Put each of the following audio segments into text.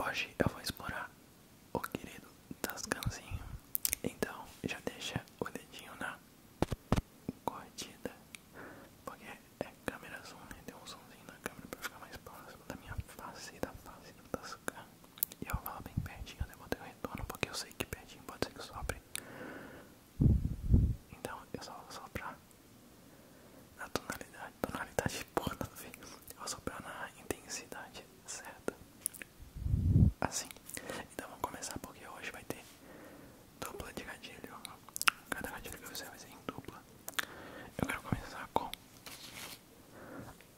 Hoje eu vou explorar o querido Tascanzinho, então já deixa o dedinho na curtida, porque é câmera zoom, né? Deu um zoomzinho na câmera pra ficar mais próximo da minha face e da face do Tascan. E eu vou bem pertinho, né? eu levantei o retorno porque eu sei que pertinho pode ser que sobre. Então eu só vou soprar na tonalidade, tonalidade porra, eu vou soprar na intensidade certa. Assim. Então vamos começar porque hoje vai ter dupla de gatilho. Cada gatilho que eu fizer vai ser em dupla. Eu quero começar com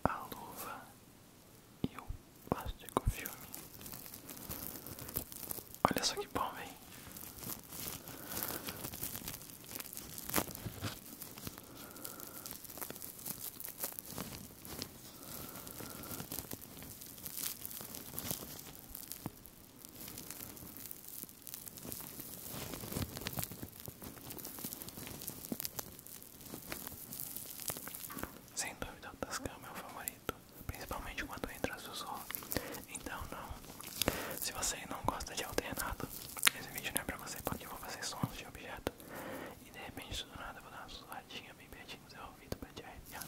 a luva e o plástico filme. Olha só que bom, hein? Sem dúvida, o Tascam é meu favorito, principalmente quando entra sussurro. Então, não. Se você não gosta de alternado, esse vídeo não é pra você, porque eu vou fazer sons de objeto e de repente, do nada, eu vou dar uma sussurradinha bem pertinho do seu ouvido pra te arrepiar.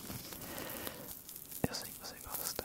Eu sei que você gosta.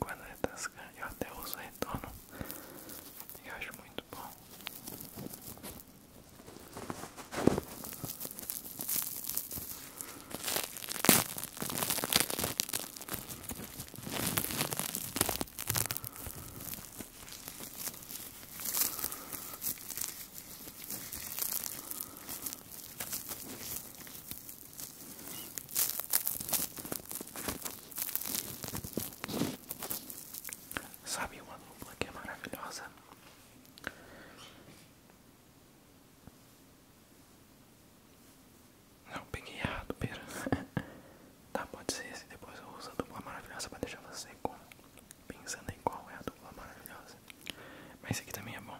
Quando é tascar, eu até uso retorno. Eu acho muito bom. Sabe uma dupla que é maravilhosa? Não, peguei errado, pera. tá, pode ser esse. Depois eu uso a dupla maravilhosa para deixar você com pensando em qual é a dupla maravilhosa. Mas esse aqui também é bom.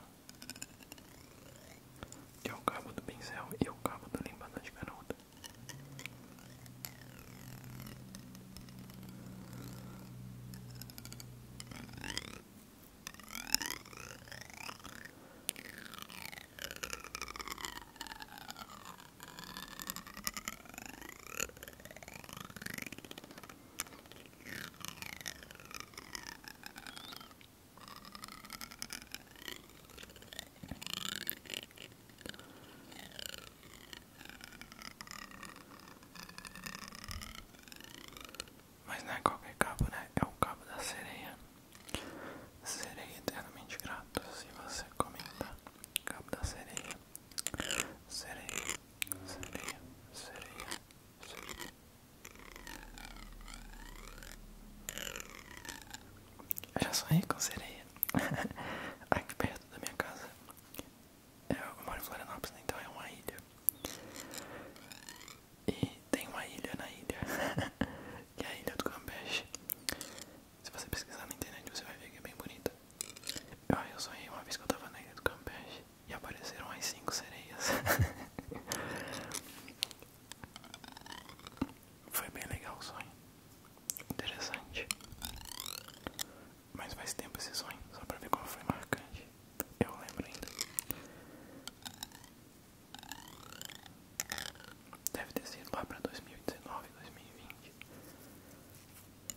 é o cabo do pincel e o cabo do limpador de canudo. Mas não é qualquer cabo, né? É o cabo da sereia. sereia eternamente grato se você comentar. Cabo da sereia. Sereia, sereia, sereia, sereia. Eu já sonhei com sereia. Aqui perto da minha casa. Eu moro em Florianópolis, então é uma ilha. E tem uma ilha na ilha, que é a Ilha do Campeche. Se você pesquisar na internet, você vai ver que é bem bonita. Eu, ah, eu sonhei uma vez que eu tava na ilha do Campeche e apareceram as cinco sereias. Foi bem legal o sonho. Interessante. Mas mais tempo esse sonho, só pra ver como foi marcante. Eu lembro ainda. Deve ter sido lá pra 2019, 2020.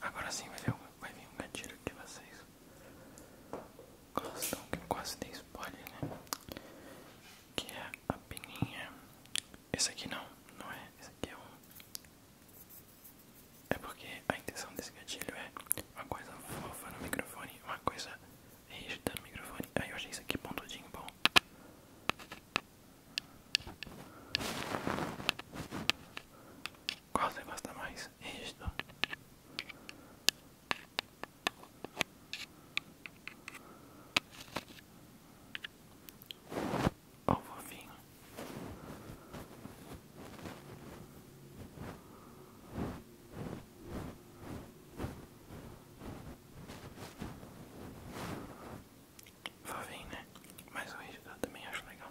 Agora sim vai, vir um gatilho que vocês gostam, que quase dei spoiler, né? Que é a peninha. Esse aqui não, não é? Esse aqui é um é porque a intenção desse gatilho é uma coisa fofa no microfone, uma coisa rígida no microfone. Aí eu achei isso aqui pontudinho bom. Qual você gosta mais? Rígido? Ó, o fofinho. né? Mas o rígido eu também acho legal.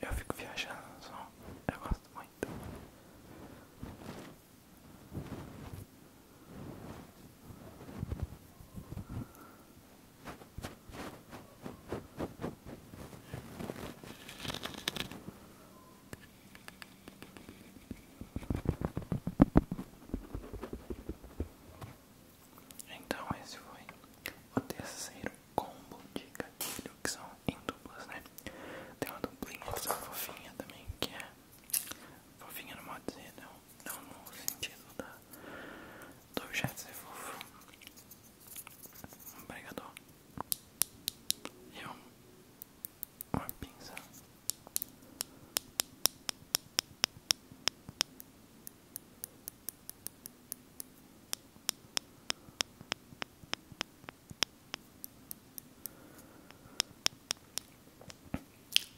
Eu fico viajando só. eu gosto muito. Então esse foi o terceiro combo de gatilho que são em duplas, né? Tem uma duplinha que são fofinha também, que é fofinha não pode dizer, não, no sentido da, do objeto ser fofo. obrigado pregador uma pinça.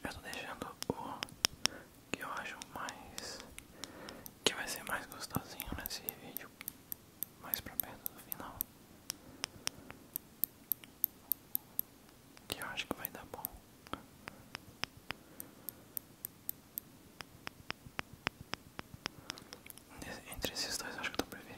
Eu tô deixando o que eu acho mais que vai ser mais gostosinho nesse vídeo mais pra perto do final que eu acho que vai dar bom. Entre esses dois, acho que eu tô preferindo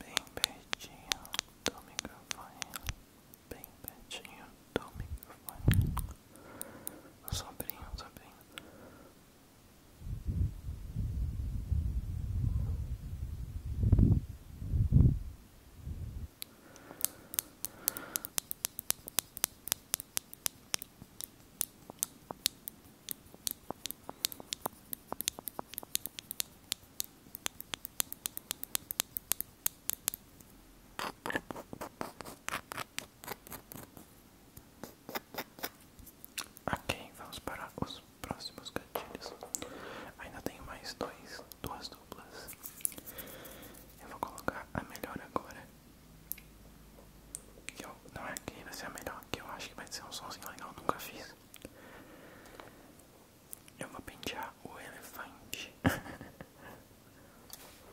Bem pertinho do microfone, bem pertinho do microfone. O sobrinho, o sobrinho. Ok, vamos para os próximos gatilhos. Ainda tenho mais dois, duas duplas. Eu vou colocar a melhor agora. não é que vai ser a melhor, que eu acho que vai ser um somzinho legal, nunca fiz. Eu vou pentear o elefante.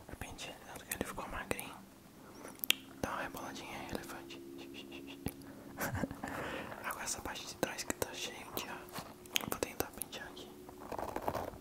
De repente ele ficou magrinho. Dá uma reboladinha aí, elefante. Agora essa parte de trás que tá cheia de ar. Vou tentar pentear aqui.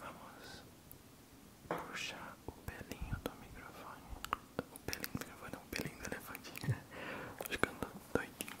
Vamos puxar o pelinho do microfone. O pelinho do microfone é um pelinho do elefante. Ficando doidinho.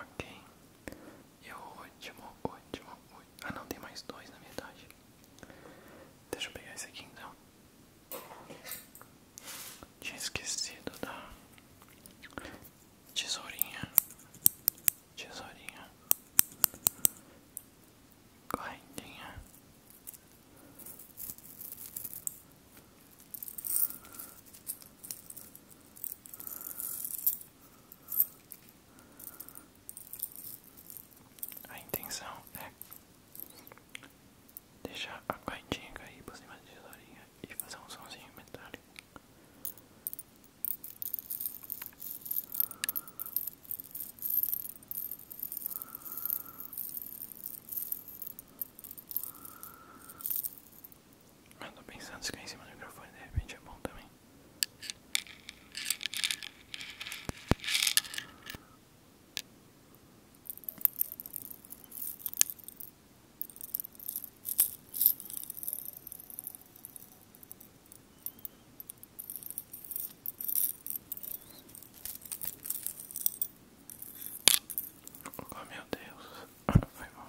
Ok. E o último, último, Ah, não, tem mais dois na metade. Deixa eu pegar esse aqui então. Tinha esquecido da tesourinha. Tesourinha correntinha. A intenção é deixar a correntinha cair por cima da tesourinha e fazer um somzinho metálico. Eu tô pensando em ficar em cima do microfone de repente é bom também. Oh meu Deus, foi bom.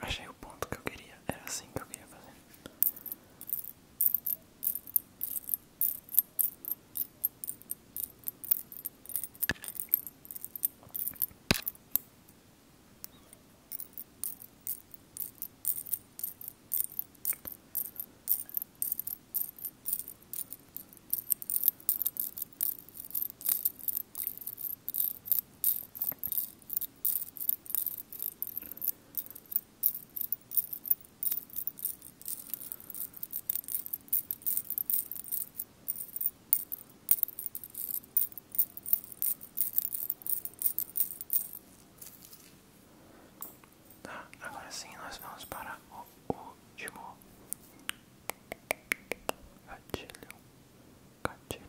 Achei o ponto que eu queria, era assim que eu queria fazer. Tá, agora sim nós vamos para o último gatilho, gatilho,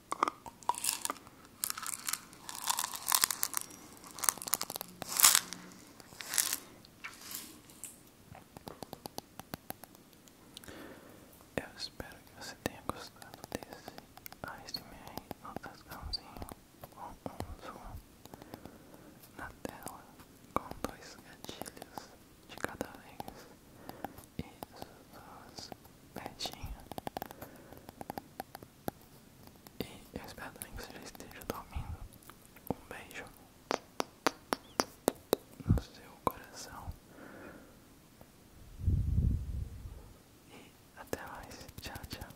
Eu espero que você tenha gostado desse ASMR no tascãozinho com um zoom na tela com dois gatilhos de cada vez e duas petinhas e eu espero também que você já esteja dormindo. Um beijo no seu coração. E até mais. Tchau, tchau.